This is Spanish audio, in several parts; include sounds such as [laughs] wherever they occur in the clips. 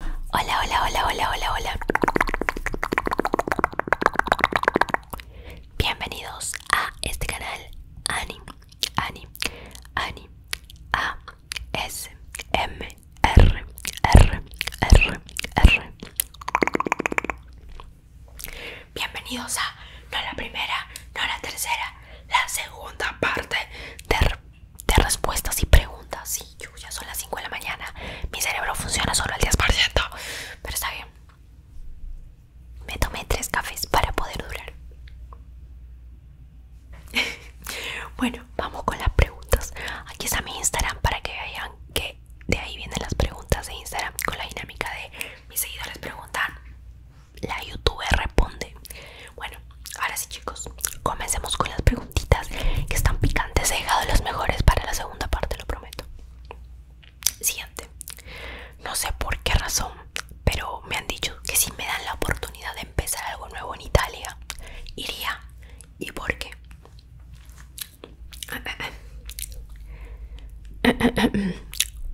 Hola, hola, hola, hola, hola, hola. Bienvenidos a este canal Ani, Ani, Ani, A, S, M, R, R, R, R. Bienvenidos a no la primera, no la tercera, la segunda parte del de respuestas y preguntas. y yo ya son las 5 de la mañana. Mi cerebro funciona solo al 10%. Pero está bien. Me tomé tres cafés para poder durar. [laughs] bueno, vamos con las preguntas. Aquí está mi Instagram para que vean que de ahí vienen las preguntas de Instagram con la dinámica de mis seguidores preguntan. La YouTube responde. Bueno, ahora sí chicos, comencemos con las preguntitas que están picantes. He dejado las mejores para la segunda parte, lo prometo. Siguiente. No sé por qué razón, pero me han dicho que si me dan la oportunidad de empezar algo nuevo en Italia, iría. ¿Y por qué?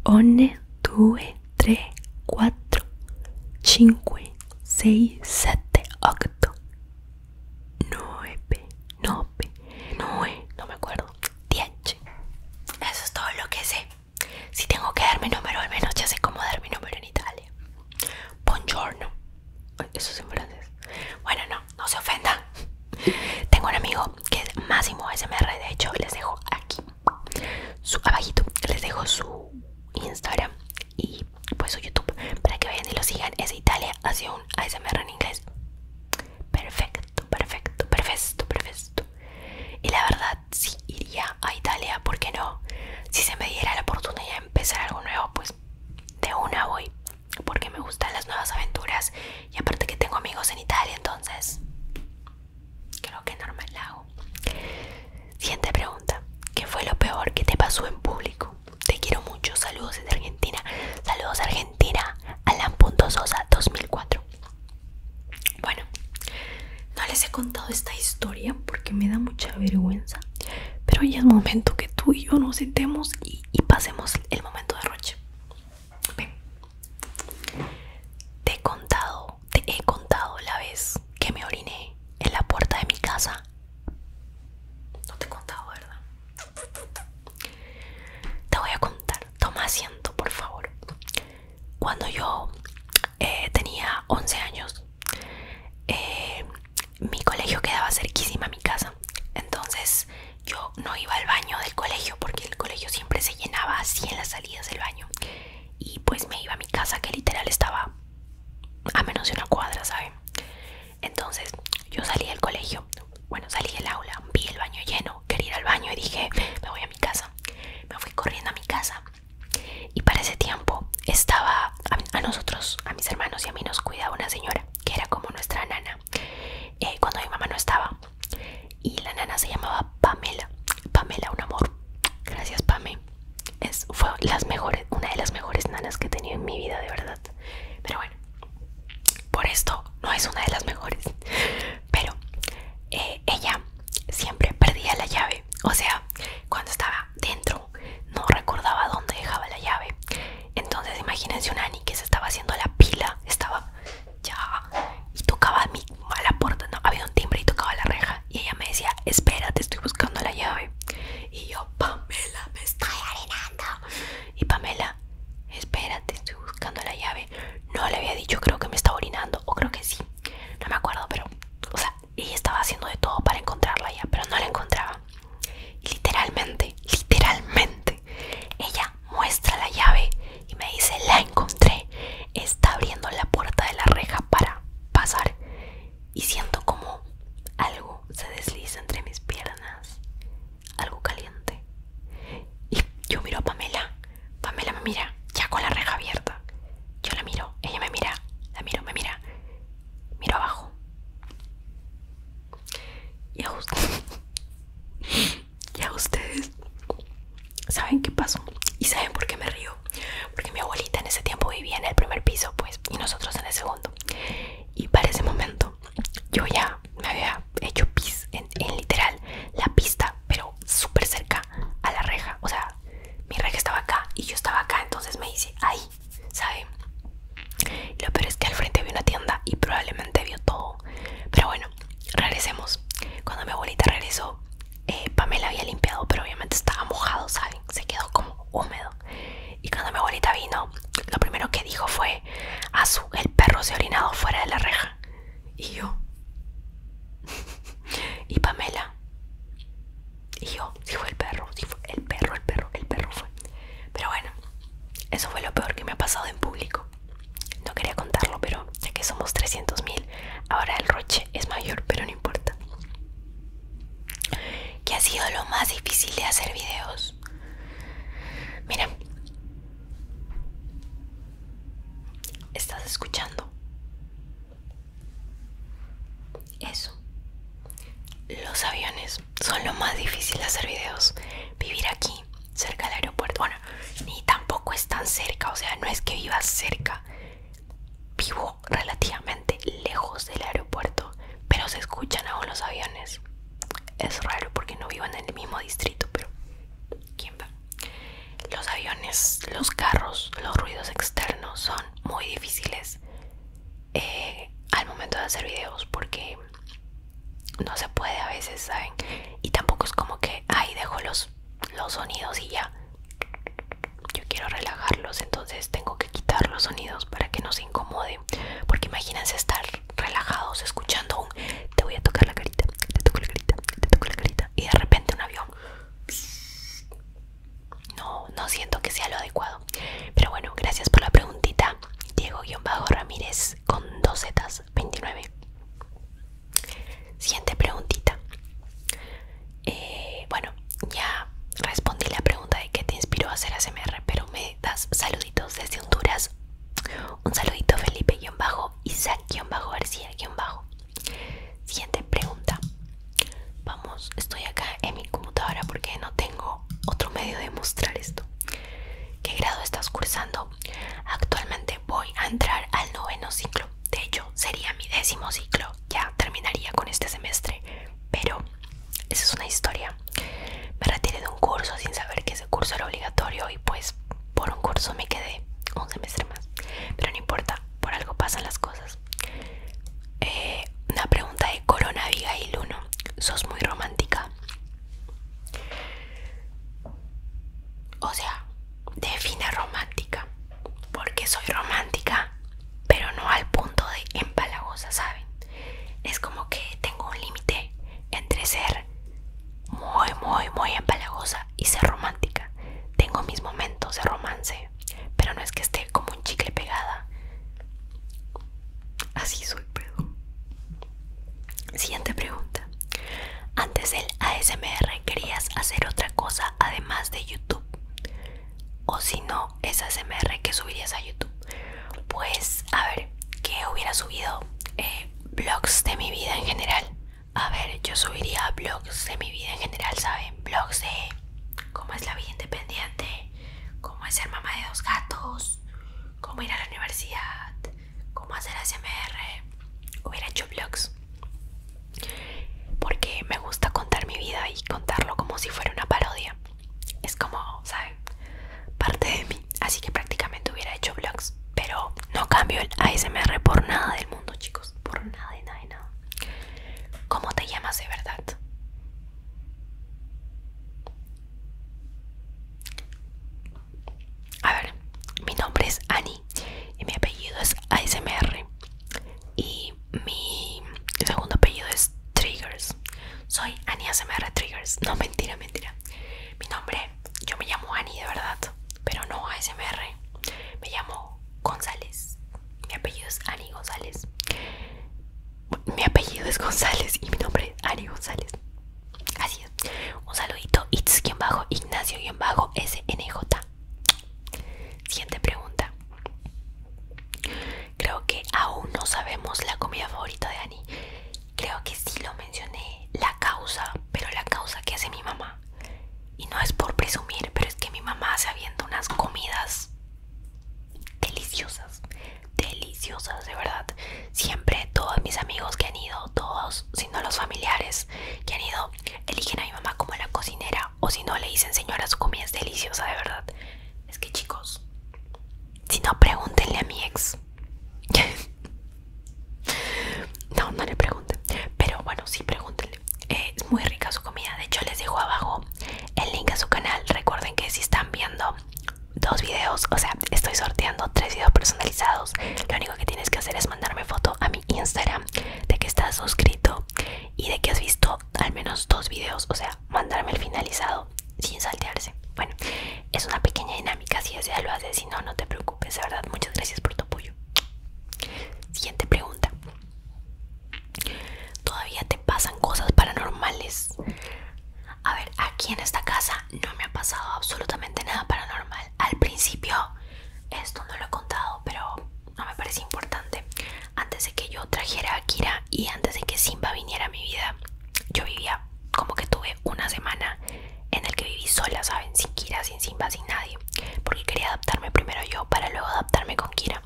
One, two, three, four, five, seis, 9, 9, 9, no me acuerdo, 10. Eso es todo lo que sé. Si tengo que dar mi número, al menos ya sé cómo dar mi número en Italia. Buongiorno. Eso es en francés. Bueno, no, no se ofenda Tengo un amigo que es Máximo SMR. De hecho, les dejo aquí, su, abajito, les dejo su Instagram y pues su YouTube para que vayan y lo sigan. Es Italia hacia un ASMR en inglés. Perfecto, perfecto, perfecto, perfecto. Y la verdad, si iría a Italia, ¿por qué no? Si se me diera la oportunidad de empezar algo nuevo, pues de una voy. Porque me gustan las nuevas aventuras y aparte que tengo amigos en Italia, entonces creo que normal hago. Siguiente pregunta. ¿Qué fue lo peor que te pasó en público? Te quiero mucho. Saludos desde Argentina. Saludos Argentina. Alan.sosa 2004. Bueno, no les he contado esta historia porque me da mucha vergüenza. Pero ya es momento que tú y yo nos sentemos y, pasemos el momento de Roche. Te he contado, te he contado la vez que me oriné en la puerta de mi casa no te he contado, ¿verdad? Te voy a contar. Toma asiento, por favor. Cuando yo eh, tenía 11 años, eh, mi colegio quedaba cerquísima a mi casa. Entonces yo no iba al baño del colegio porque el colegio siempre se llenaba así en las salidas del baño. Y pues me iba a mi casa que literal estaba a menos de una cuadra, ¿saben? Entonces yo salí del colegio, bueno, salí del aula, vi el baño lleno, quería ir al baño y dije, me voy a mi casa. Me fui corriendo a mi casa y para ese tiempo estaba a, nosotros, a mis hermanos y a mí nos cuidaba una señora que era como nuestra nana eh, cuando mi mamá no estaba. Y la nana se llamaba Pamela, Pamela, un amor. Gracias, Pame es, fue una de las mejores nanas que he tenido en mi vida, de verdad. Pero bueno, por esto no es una de las mejores. Pero eh, ella siempre perdía la llave. O sea, cuando estaba dentro no recordaba dónde dejaba la llave. Entonces imagínense una Annie que se estaba haciendo la pila, estaba ya y tocaba a, la puerta, no, había un timbre y tocaba la reja y ella me decía, espérate, estoy buscando la llave. Y yo, Pamela, me estoy orinando Y Pamela, espérate, estoy buscando la llave. No le había dicho, creo que me estaba orinando, o creo que sí. No me acuerdo, pero, o sea, ella estaba haciendo de todo para encontrarla ya, pero no la encontraba. literalmente, literalmente, ella muestra la llave y me dice, la encontré. Está abriendo la puerta de la reja para pasar y siento como algo se desliza entre mis piernas, algo caliente. Y yo miro a Pamela, Pamela me mira, ya con la reja abierta. Yo la miro, ella me mira, la miro, me mira, miro abajo. Y a ustedes, [laughs] y a ustedes, ¿saben qué pasó? ¿Y saben por qué me río? porque mi abuelita en ese tiempo vivía en el primer piso pues y nosotros en el segundo y para ese momento yo ya me había hecho pis en, literal la pista pero súper cerca a la reja o sea mi reja estaba acá y yo estaba acá entonces me dice, ahí ¿sabe? lo peor es que al frente vi una tienda y probablemente vio todo pero bueno regresemos cuando mi abuelita regresó eh, Pamela había limpiado, pero obviamente estaba mojado, ¿saben? Se quedó como húmedo. Y cuando mi abuelita vino, lo primero que dijo fue, "Azul, el perro se ha orinado fuera de la reja. Y yo, [laughs] y Pamela, y yo, sí fue el perro, sí fue el perro, el perro, el perro fue. Pero bueno, eso fue lo peor que me ha pasado en público. No quería contarlo, pero ya que somos 300.000, ahora el roche es mayor, pero no importa que ha sido lo más difícil de hacer videos. Mira, estás escuchando eso. Los aviones son lo más difícil de hacer videos. Vivir aquí, cerca del aeropuerto, bueno, ni tampoco es tan cerca, o sea, no es que vivas cerca, vivo relativamente lejos del aeropuerto, pero se escuchan aún los aviones. Es raro porque no vivo en el mismo distrito, pero ¿quién va? Los aviones, los carros, los ruidos externos son muy difíciles eh, al momento de hacer videos porque no se puede a veces, ¿saben? Y tampoco es como que ahí dejo los, los sonidos y ya yo quiero relajarlos, entonces tengo que quitar los sonidos para que no se incomode. Porque imagínense estar relajados escuchando un te voy a tocar la carita, te toco la carita, te toco la carita y de repente un avión. No, no siento que sea lo adecuado. Pero bueno, gracias por la preguntita. Diego-Ramírez con dos zetas 29. Siguiente preguntita. Eh, bueno, ya respondí la pregunta de qué te inspiró a hacer ASMR, pero me das saluditos desde Honduras. Un saludito Felipe-Isaac-García-Bajo. Siguiente pregunta. Vamos, estoy acá en mi computadora porque no tengo otro medio de mostrar esto. ¿Qué grado estás cursando? Actualmente voy a entrar al noveno ciclo de hecho sería mi décimo ciclo, ya terminaría con este semestre, pero esa es una historia. Me retiré de un curso sin saber que ese curso era obligatorio y pues por un curso me quedé un semestre más, pero no importa, por algo pasan las cosas. Eh, una pregunta de Corona y Luno sos muy romántica. O sea, define romántica porque soy romántica, pero no al punto de empalagosa, ¿saben? Es como que tengo un límite entre ser muy, muy, muy empalagosa y ser romántica. Tengo mis momentos de romance, pero no es que esté como un chicle pegada. Así soy, pero Siguiente pregunta. Antes del ASMR querías hacer otra cosa además de YouTube o si no esas MR que subirías a YouTube pues a ver ¿qué hubiera subido blogs eh, de mi vida en general a ver yo subiría blogs de mi vida en general saben blogs de cómo es la vida independiente cómo es ser mamá de dos gatos cómo ir a la universidad cómo hacer SMR hubiera hecho blogs porque me gusta contar mi vida y contarlo como si fuera una parodia es como saben parte de mí así que prácticamente hubiera hecho vlogs pero no cambio el ASMR por nada del mundo chicos por nada de nada nada ¿cómo te llamas de verdad? A ver, mi nombre es Annie y mi apellido es ASMR y mi segundo apellido es Triggers. Soy Ani ASMR Triggers. No, mentira, mentira. Mi nombre, yo me llamo Ani de verdad, pero no ASMR. Me llamo González. Mi apellido es Ani González. Mi apellido es González y mi nombre es Ani González. Así es. Un saludito, Itz-Ignacio-SNJ. Siguiente pregunta. Creo que aún no sabemos la comida favorita de Ani. Creo que sí lo mencioné, la causa, pero la causa que hace mi mamá. Y no es por presumir, pero es que mi mamá hace habiendo unas comidas deliciosas, deliciosas, de verdad. Siempre todos mis amigos que han ido, todos, sino los familiares que han ido, eligen a mi mamá como la cocinera o si no le dicen señora su comida es deliciosa de verdad es que chicos si no pregúntenle a mi ex [laughs] no no le pregunten pero bueno sí pregúntenle eh, es muy rica su comida de hecho les dejo abajo el link a su canal recuerden que si están viendo dos videos o sea estoy sorteando tres videos personalizados lo único que tienes que hacer es mandarme foto a mi instagram de que estás suscrito y de que has visto al menos dos videos, o sea, mandarme el finalizado sin saltearse. Bueno, es una pequeña dinámica, si deseas lo haces, si no, no te preocupes, de verdad, muchas gracias por tu apoyo. Siguiente pregunta. ¿Todavía te pasan cosas paranormales? A ver, aquí en esta casa no me ha pasado absolutamente nada paranormal. Al principio, esto no lo he contado, pero no me parece importante. Antes de que yo trajera a Kira y antes de que Simba viniera a mi vida, yo vivía como que tuve una semana en el que viví sola, ¿saben? Sin Kira, sin Simba, sin nadie. Porque quería adaptarme primero yo para luego adaptarme con Kira.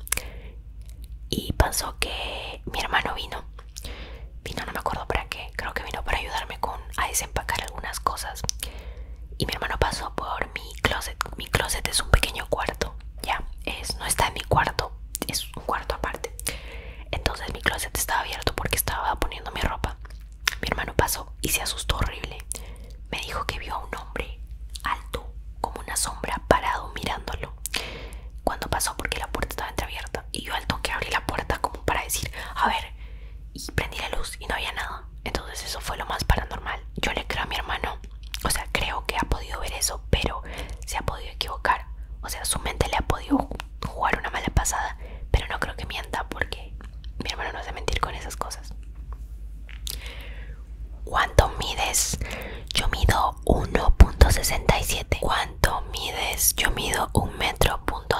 Y pasó que mi hermano vino. Vino, no me acuerdo para qué. Creo que vino para ayudarme con, a desempacar algunas cosas y mi hermano pasó por mi closet. Mi closet es un pequeño cuarto, ya, es, no está en mi cuarto, es un cuarto aparte. Entonces mi closet estaba abierto porque estaba poniendo mi ropa. Mi hermano pasó y se asustó horrible. Me dijo que vio a un hombre alto, como una sombra, parado mirándolo. Cuando pasó porque la puerta estaba entreabierta y yo al toque abrí la puerta como para decir, a ver, y prendí la luz y no había nada. Entonces eso fue lo más paranormal. Yo le creo a mi hermano. O sea, creo que ha podido ver eso, pero se ha podido equivocar. O sea, su mente le ha podido jugar una mala pasada. Pero no creo que mienta porque mi hermano no hace mentir con esas cosas. ¿Cuánto mides? Yo mido 1.67. ¿Cuánto mides? Yo mido 1.67 metro punto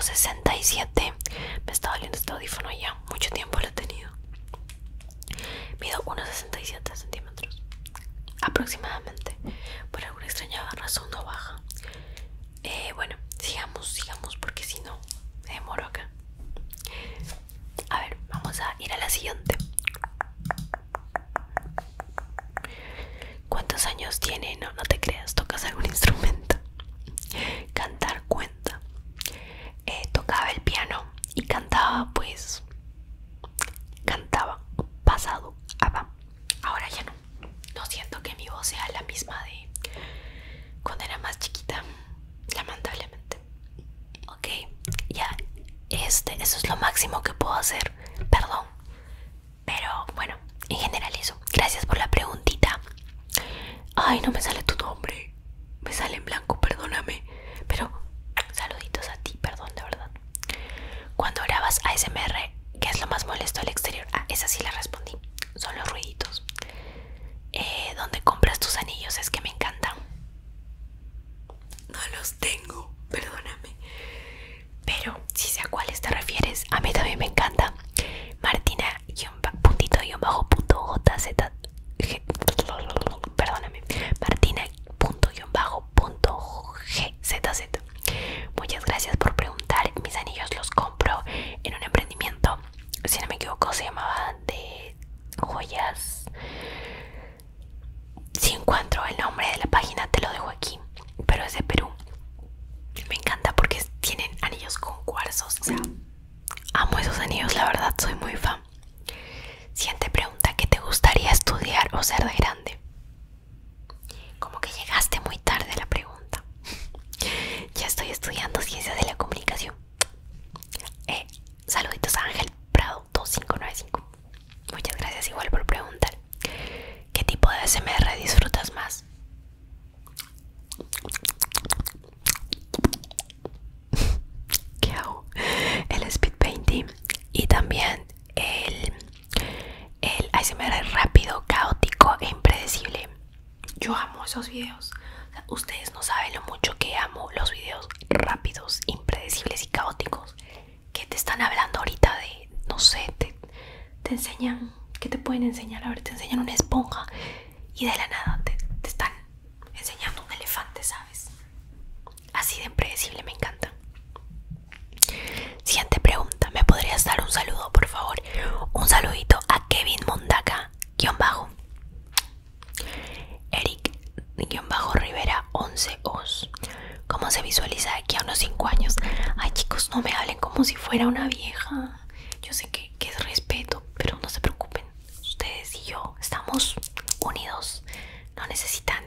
Me está doliendo este audífono ya. Mucho tiempo lo he tenido. Mido unos 67 centímetros aproximadamente. Por alguna extraña razón no baja. Eh, bueno, sigamos, sigamos, porque si no, me demoro acá. A ver, vamos a ir a la siguiente. ¿Cuántos años tiene? No, no te creas, tocas algún instrumento. Cantar cuenta. Eh, tocaba el piano y cantaba pues cantaba pasado ah, ahora ya no no siento que mi voz sea la misma de cuando era más chiquita lamentablemente ok ya este eso es lo máximo que puedo hacer perdón pero bueno en general eso gracias por la preguntita ay no me sale tu nombre me sale en blanco, perdóname. Pero saluditos a ti, perdón, de verdad. Cuando grabas ASMR, ¿qué es lo más molesto al exterior? Ah, esa sí la respondí. Son los ruiditos. Eh, ¿Dónde compras tus anillos? Es que me encantan. No los tengo, perdóname. Pero si sé a cuáles te refieres, a mí también me encanta. Martina yo puntito bajo jz bajo punto muchas gracias por preguntar mis anillos los compro en un emprendimiento si no me equivoco se llamaba de joyas si encuentro el nombre de la página te lo dejo aquí pero es de Perú me encanta porque tienen anillos con cuarzos o sea Amo esos anillos, la verdad, soy muy fan. Siente pregunta, ¿qué te gustaría estudiar o ser de grande? Como que llegaste muy tarde la pregunta. [laughs] ya estoy estudiando ciencias de la comunicación. Eh, saluditos a Ángel Prado 2595. Muchas gracias igual por preguntar. ¿Qué tipo de SMR disfrutas más? [laughs] ¿Qué hago? El speed painting y también el, el rápido, caótico e impredecible. Yo amo esos videos. ustedes no saben lo mucho que amo los videos rápidos, impredecibles y caóticos. Que te están hablando ahorita de, no sé, te, enseñan, ¿qué te pueden enseñar? A ver, te enseñan una esponja y de la nada te están enseñando un elefante, ¿sabes? Así de impredecible, me encanta. Siguiente pregunta, ¿me podrías dar un saludo, por favor? Un saludito a Kevin Mondaca, guión bajo. Eric, guión bajo Rivera, 11 os. ¿Cómo se visualiza de aquí a unos 5 años? Ay chicos, no me hablen como si fuera una vieja. Yo sé que es respeto, pero no se preocupen ustedes y yo estamos unidos. No necesitan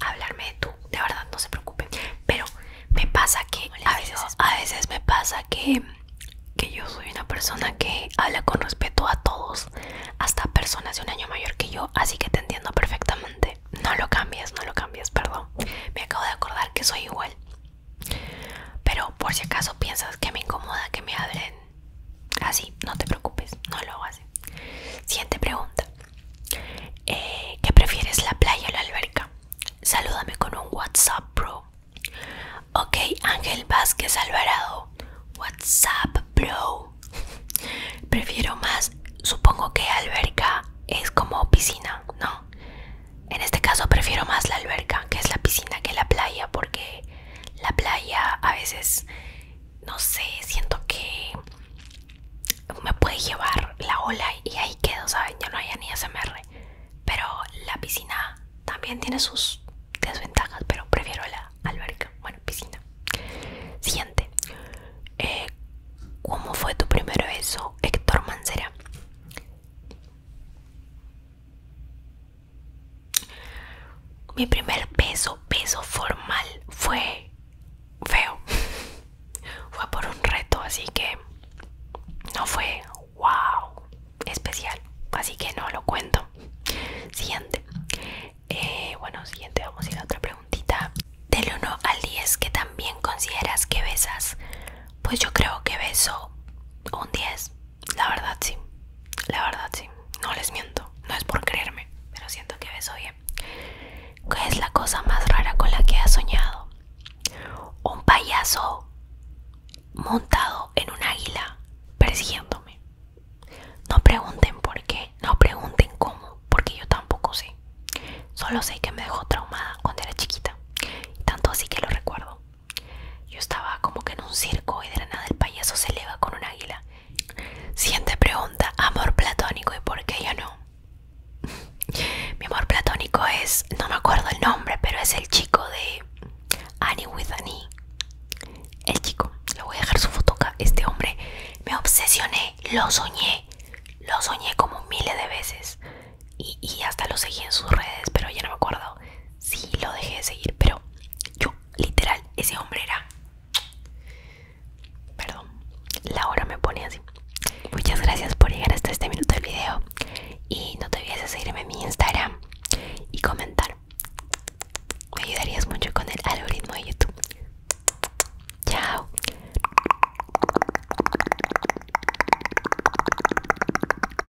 hablarme de tú, de verdad, no se preocupen. Pero me pasa que a veces, me pasa que, que yo soy una persona que habla con respeto a todos, hasta personas de un año mayor que yo, así que te entiendo perfectamente. No lo cambies, no lo cambies, perdón. Me acabo de acordar que soy igual. Pero por si acaso piensas que me incomoda que me hablen así, no te preocupes, no lo así Siguiente pregunta. Eh, ¿Qué prefieres, la playa o la alberca? Salúdame con un WhatsApp, bro. Ok, Ángel Vázquez Alvarado. WhatsApp, bro. [laughs] Prefiero más, supongo que alberca es como piscina, ¿no? En este caso prefiero más la alberca, que es la piscina, que la playa, porque la playa a veces, no sé, siento que me puede llevar la ola y ahí quedo, ¿saben? Ya no hay ni SMR. Pero la piscina también tiene sus desventajas, pero prefiero la alberca. Bueno, piscina. Siguiente. Eh, ¿Cómo fue tu primer beso, Héctor Mancera? Mi primer beso, beso formal fue feo. [laughs] fue por un reto, así que no fue wow especial. Así que no lo cuento. Siguiente. Eh, bueno, siguiente vamos a ir a otra preguntita. Del 1 al 10, ¿qué también consideras que besas? Pues yo creo que beso un 10. La verdad sí, la verdad sí. No les miento, no es por creerme, pero siento que ves, oye, ¿qué es la cosa más rara con la que has soñado? Un payaso montado en un águila persiguiéndome. No pregunten por qué, no pregunten cómo, porque yo tampoco sé. Solo sé que me dejó traumada cuando era chiquita, tanto así que lo recuerdo. Yo estaba como que en un circo y de la nada el payaso se eleva con un águila. Siguiente pregunta, amor platónico y por qué yo no. [laughs] Mi amor platónico es, no me acuerdo el nombre, pero es el chico de Annie with Annie. El chico, le voy a dejar su foto acá. Este hombre, me obsesioné, lo soñé, lo soñé como miles de veces. y hasta lo seguí en sus redes, pero ya no me acuerdo sí lo dejé de seguir, pero yo, literal, ese hombre era. Perdón, la hora me pone así. Muchas gracias por llegar hasta este minuto del video. Y no te olvides de seguirme en mi Instagram y comentar. Me ayudarías mucho con el algoritmo de YouTube. Chao.